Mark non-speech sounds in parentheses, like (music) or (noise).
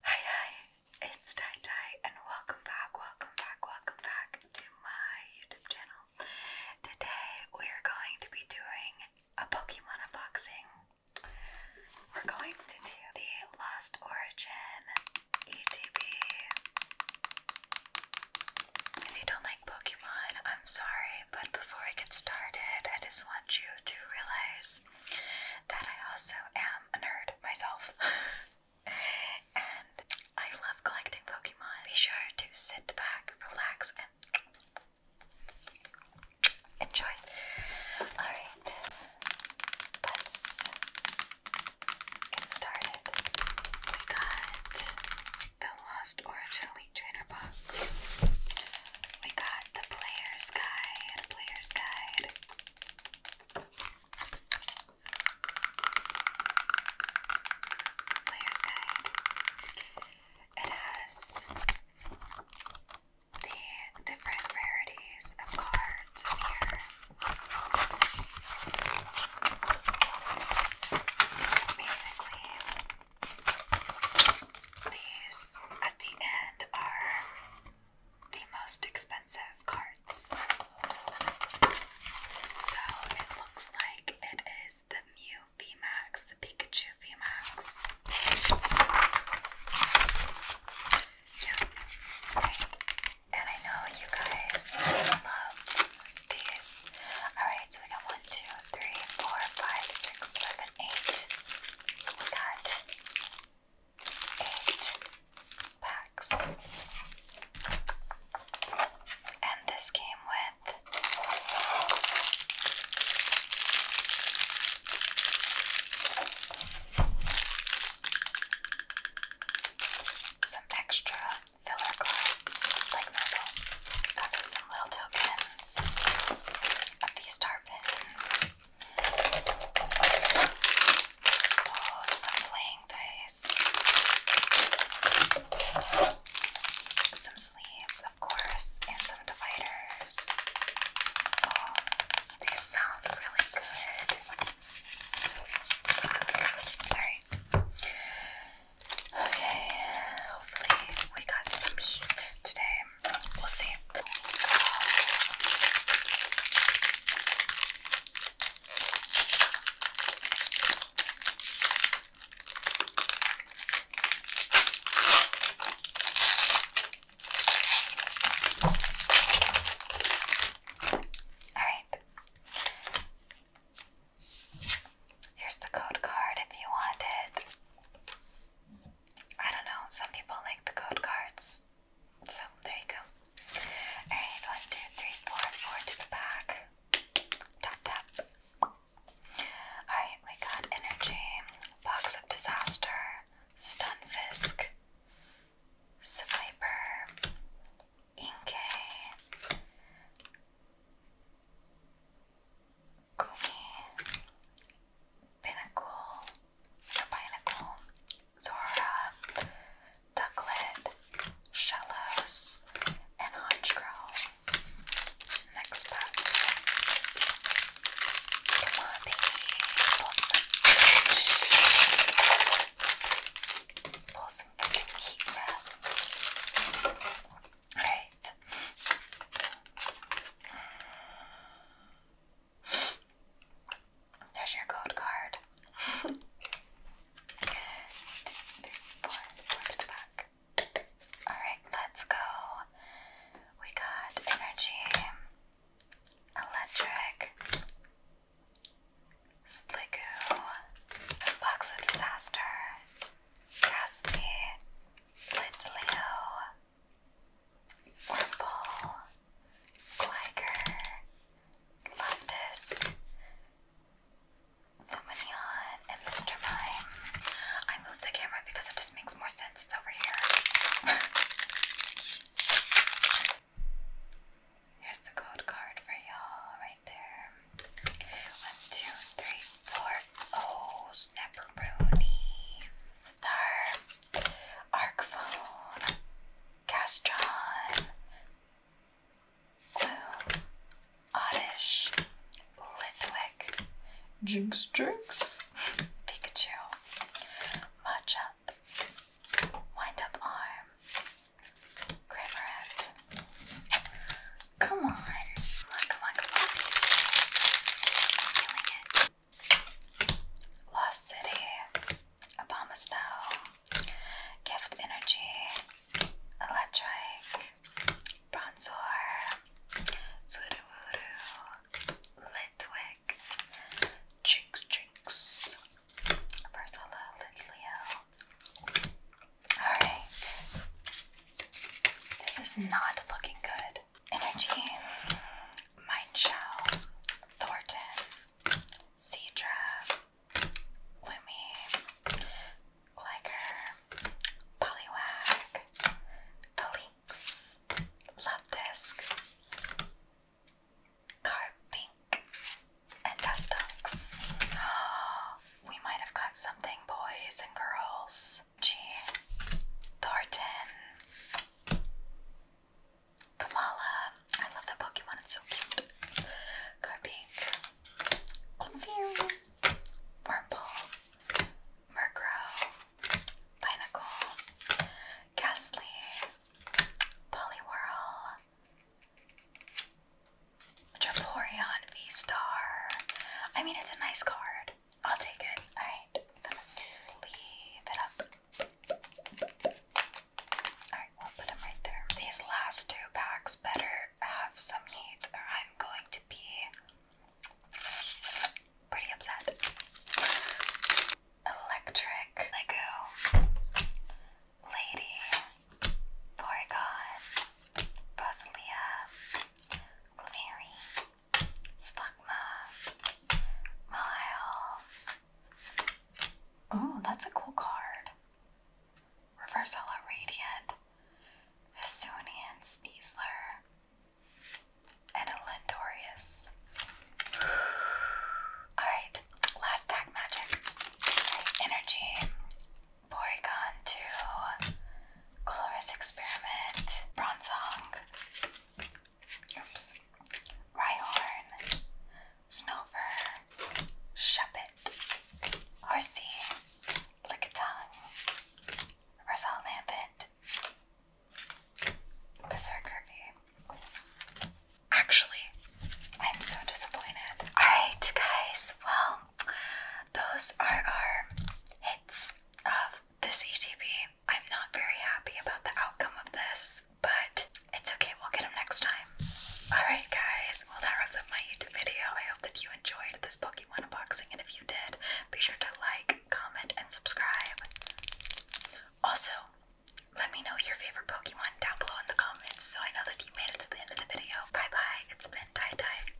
Hi hi, it's Tai and welcome back, welcome back, welcome back to my YouTube channel. Today we're going to be doing a Pokemon unboxing. We're going to do the Lost Origin ETB. If you don't like Pokemon, I'm sorry, but before we get started, I just want you to realize that I also am a nerd myself. (laughs) and I love collecting Pokemon. Be sure to sit back, relax, and enjoy. Alright, let's get started. We got the Lost Origin Elite Trainer box. We got the Player's Guide, Player's Guide, Player's Guide. It has the different rarities of cards here. Basically, these at the end are the most expensive cards. So it looks like it is the Mew VMAX, the Pikachu VMAX. Yeah, And I know you guys love these. Alright, so we got 1, we got eight packs, and this came with some extra filler cards, like normal. Got us some little tokens of these star Oh, some playing dice. Some sleeves, of course, and some dividers. Oh, they sound really good. Alright. Okay, hopefully we got some heat today we see. Alright. Here's the code card if you want it. I don't know, some people like the code cards. So there you go. Alright, one, two, three, four, four to the back. Tap tap. Alright, we got energy, box of disaster, stunfisk, swiper, Inkay, Gumi, Pinnacle, the Zora, Ducklet, Shellos, and Honchcrow. Next pack. Come on, baby. Pull some Right. There's your code card. Good. back. Alright, let's go. We got energy, electric, slickoo, box of disaster, ghastly, Flintleo, Wurmple, Gligar, Loftus, Luminion, and Mr. Mime. I moved the camera because it just makes more sense. It's over here. (laughs) Here's the code card for y'all right there. One, two, three, four. Oh, snapperoonies. Star. Arcphone. Castron. Gloom. Oddish. Litwick. Jinx Pikachu. Much up. arm. Grammarant. Come on. Come on, come on, come on. Lost City. Obama Gift Energy. Electric. Bronzor. Swoodoowoo. Litwick. Jinx Jinx. Versala Litleo. Alright. This is not looking good. Energy, Mind Thornton, Cedra, Gloomy, Gligar, Poliwag, Palinx, Love Disc, Carpink, and dust ducks. (gasps) We might have got something, boys and girls. G. Thornton. Kamala. I love that Pokemon, it's so cute. Codpink. Clefairy. Wurmple. Murkrow. Pinnacle. Ghastly. Poliwhirl. Triflorian V Star. I mean, it's a nice card. I'll take it. Alright, gonna sleeve it up. Alright, we'll put them right there. These last two packs better have some heat, or I'm going to be pretty upset. Electric Lego Lady, Porygon, Rosalia, Claveri, Slugma, Miles. Oh, that's a cool card. Reverse Hollow Radiant, Hisuian Sneasler, (sighs) Alright, last pack magic. Energy, Porygon 2, Colorous Experiment, Bronzong, oops, Rhyhorn, Snowfur, Shuppet, Arcee, Lickitung, Reversal Lampet, Berserker V, Actually, I'm so disappointed. Alright, guys, well, those are our hits of this ETB. I'm not very happy about the outcome of this, but it's okay, we'll get them next time. Alright, guys, well, that wraps up my YouTube video. I hope that you enjoyed this Pokemon unboxing, and if you did, be sure to like, comment, and subscribe. Also, let me know your favorite Pokemon down below in the comments so I know that you made it to the end of the video. Bye bye, it's been Tie Dye.